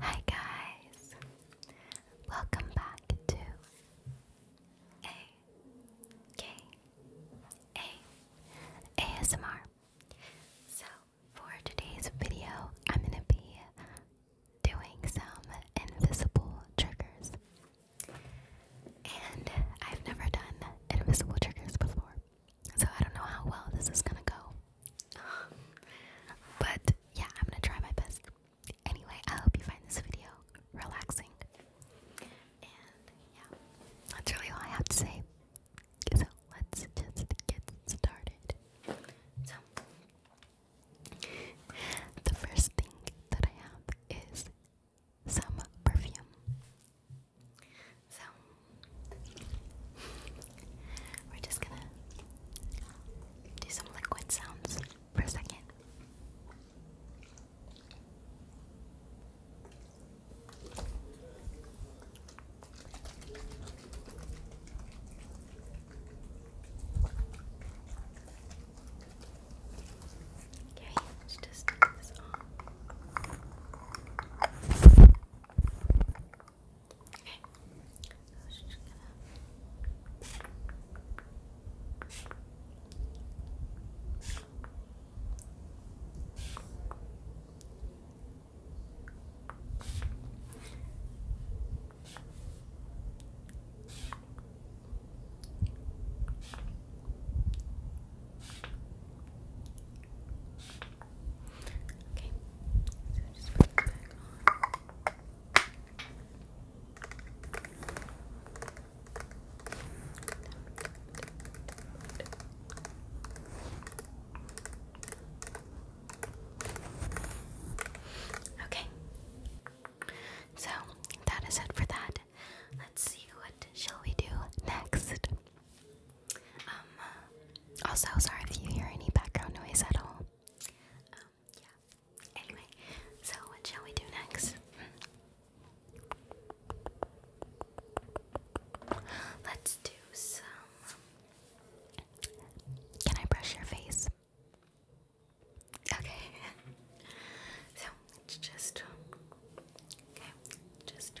Hi guys! Welcome back to A K A ASMR. So for today's video, I'm gonna be doing some invisible triggers. And I've never done invisible triggers before. So I don't know how well this is gonna go. but yeah, I'm gonna try my best. Anyway, I hope you find this video relaxing. And yeah, that's really all I have to say. So let's just get started. So, the first thing that I have is some perfume. So, we're just gonna do some liquid sounds for a second. Okay, just put this on. Okay. So I was just gonna Okay, so Okay, so that is it for that. Let's see what shall we do next. Um, also, sorry if you hear any background noise at all. Um, yeah. Anyway, so what shall we do next? Let's do some. Can I brush your face? Okay. so it's just. Okay, just.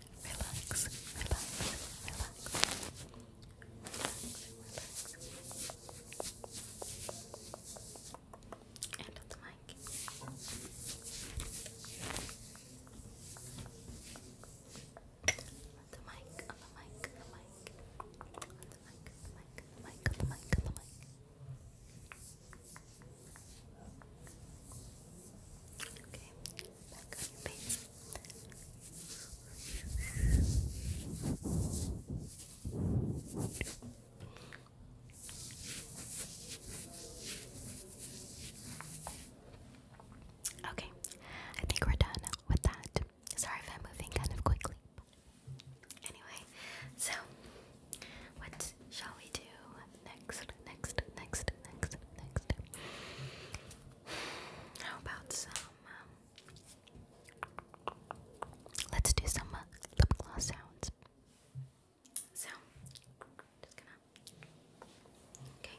relax, relax, relax. Relax, relax. And it's Mike. The mic, on the mic, the mic. On the mic, the mic, the mic, the the mic. Okay, Okay, I think we're done with that. Sorry if I'm moving kind of quickly. Anyway, so what shall we do next, next, next, next, next. How about some? Um, let's do some uh, lip gloss sounds. So, Okay.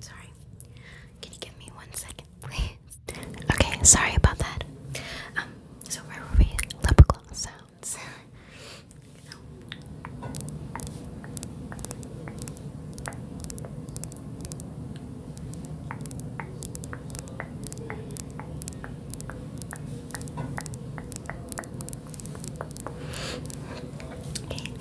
Sorry. Can you give me one second, please? Okay, sorry about that. Um, so where were we? Lip gloss sounds. no. Okay.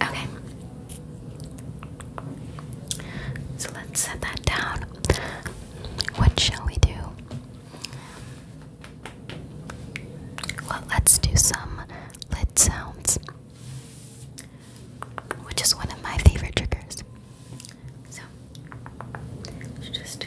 Okay. So let's set that down. What shall we do? Well, let's do some lid sounds, which is one of my favorite triggers. So, just.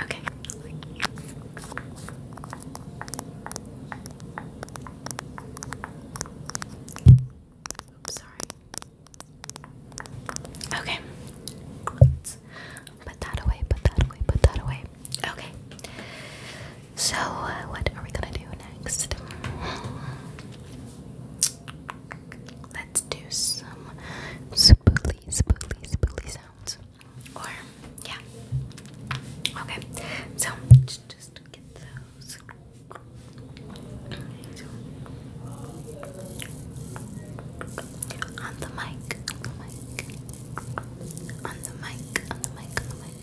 Okay. Oops, sorry. Okay. put that away, put that away, put that away. Okay. So, what are we gonna do next? let's do some spooly, spooly, spooly sounds. Or, yeah. Okay, So, on the mic, on the mic, on the mic, on the mic, on the mic.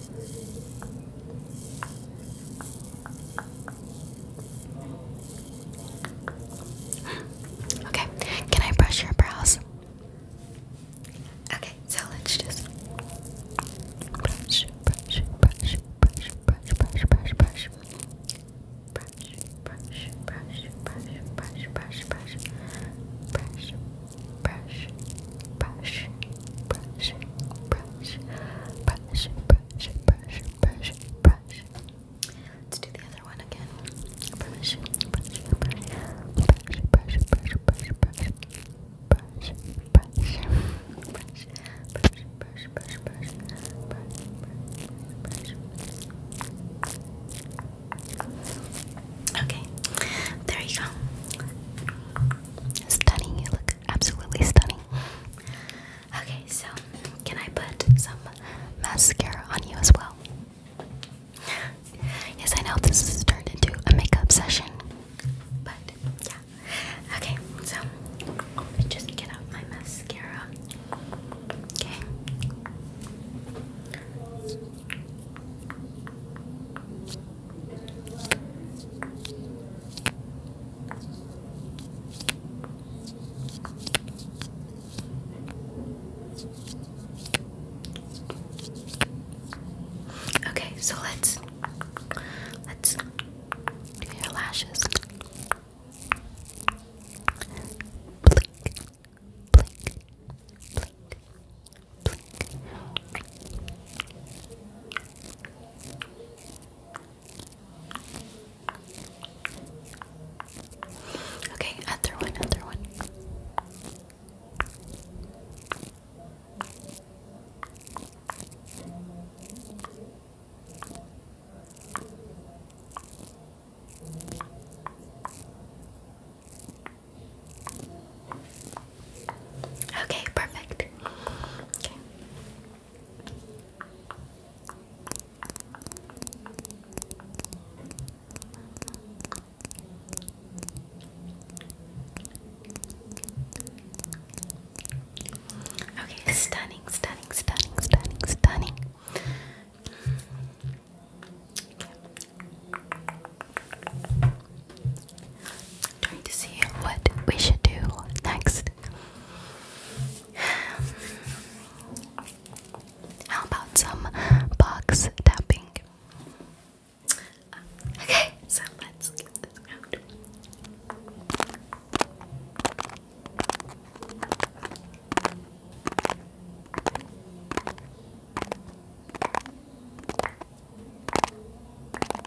Okay, can I brush your brows? Okay, so let's just brush, brush, brush, brush, brush, brush, brush, brush, brush, brush, brush, brush, brush, brush, brush, brush, brush, brush, brush, brush, brush, brush, brush, brush, brush, brush. Let's do the other one again. Brush, brush, brush, brush, brush, brush, brush, brush. Brush, brush, brush, brush, brush, brush, brush, brush, brush. Okay, there you go. Stunning, you look absolutely stunning. Okay, so can I put some mascara on you as well? yes, I know this has turned into a makeup session, but yeah. Okay, so let me just get out my mascara. Okay. Okay, so let's let's do your lashes. Blink, blink, blink, blink. Okay, other one, other one. Okay, perfect. Okay. Okay, stunning, stunning, stunning, stunning, stunning. Trying to see what we should do next. How about some box tapping? okay, so let's get this out.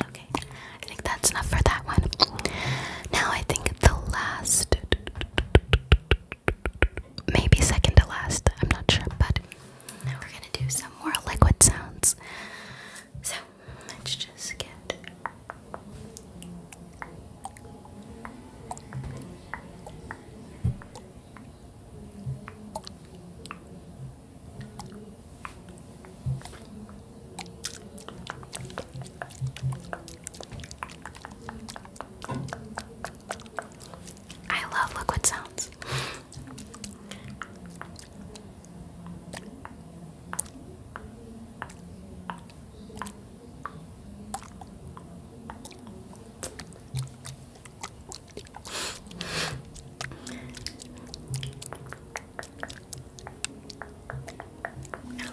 Okay, I think that's enough for that one. Now I think the last, maybe second to last, I'm not sure, but now we're gonna do some more liquid sounds. So let's just get I love liquid sounds. A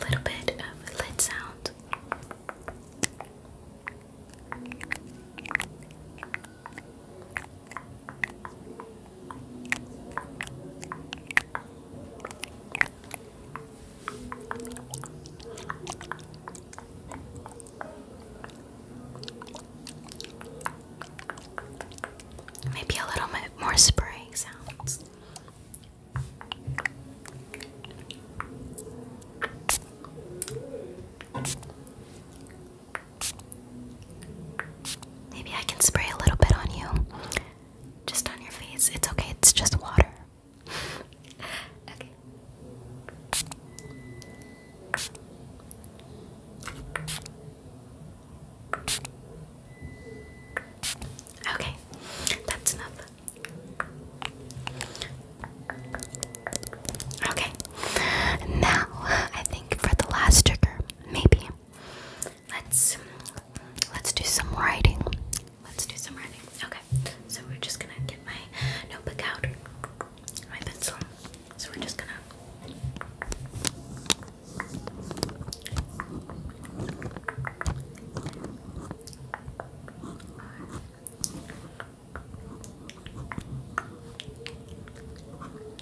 little bit of lid sound. Maybe a little bit more spraying sounds. Maybe I can spray a little bit on you. Just on your face. It's okay, it's just water. okay. Okay, that's enough. Okay, now I think for the last trigger, maybe let's let's do some writing. Let's do some writing. Okay. So we're just gonna get my notebook out, my pencil. So we're just gonna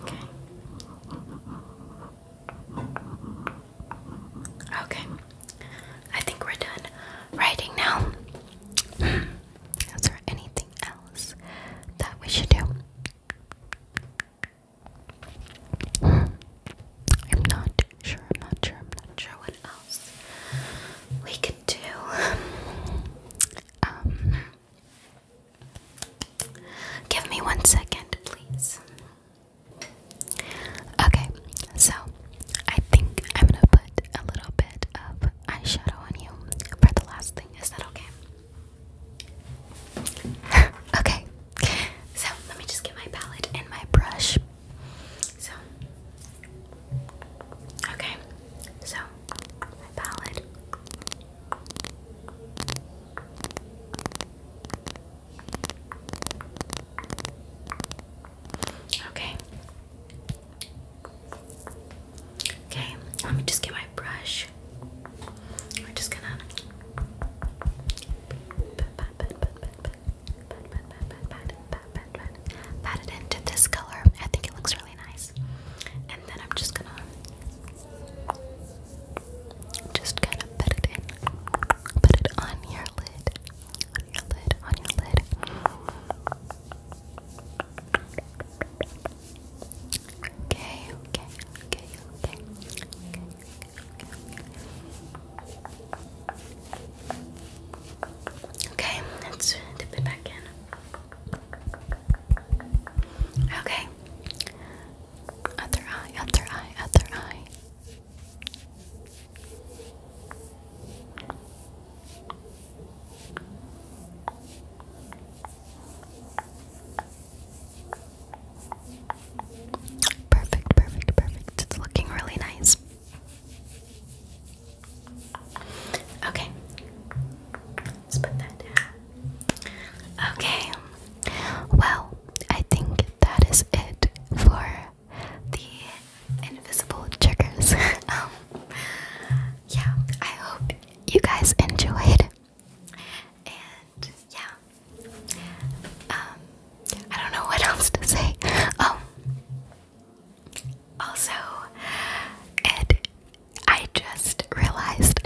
Okay. Okay. I think we're done writing now. Is there anything else that we should do? I'm not sure. I'm not sure. I'm not sure what we can do. Um, give me one second, please. Okay, so I think I'm gonna put a little bit of eyeshadow on you for the last thing. Is that okay? okay, so let me just get my palette and my brush. So, okay, so my palette. Okay. Okay, let me just get my brush. We're just gonna pat, it into this color. I think it looks really nice. And then I'm just gonna just kind of put it in, put it on your lid, on your lid, on your lid. Okay, okay, okay, okay, okay, okay, okay. Okay, let's dip it back in. Okay. Other eye, other eye, other eye. Perfect, perfect, perfect. It's looking really nice. Okay. Let's put that down. Okay. Well, I think that is it for the invisible triggers. Um, yeah, I hope you guys enjoyed. And yeah. Um, I don't know what else to say. Um, also, it I just realized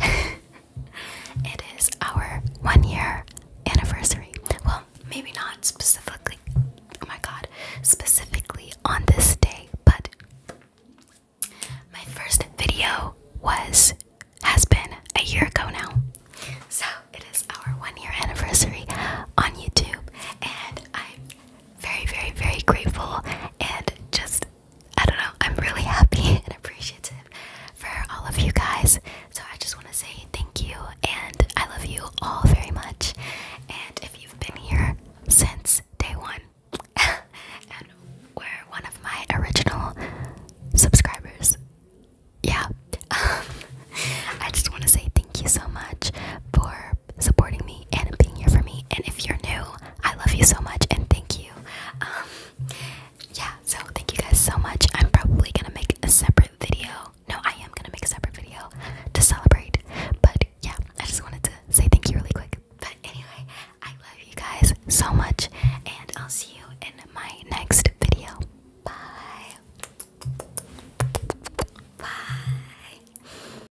it is our one year anniversary. Well, maybe not specifically oh my god, specifically on this day, but my first video was has been a year ago now. So it is our one year anniversary on YouTube and I'm very, very, very grateful and just, I don't know, I'm really happy and appreciative for all of you guys. So I just want to say thank you and I love you all very much. And if you've been here since day one and were one of my original subscribers, yeah, I just want to say thank you so much for supporting me and being here for me. And if you're new, I love you so much and thank you. Um, yeah, so thank you guys so much. I'm probably gonna make a separate video. No, I am gonna make a separate video to celebrate. But yeah, I just wanted to say thank you really quick. But anyway, I love you guys so much, and I'll see you in my next video. Bye. Bye.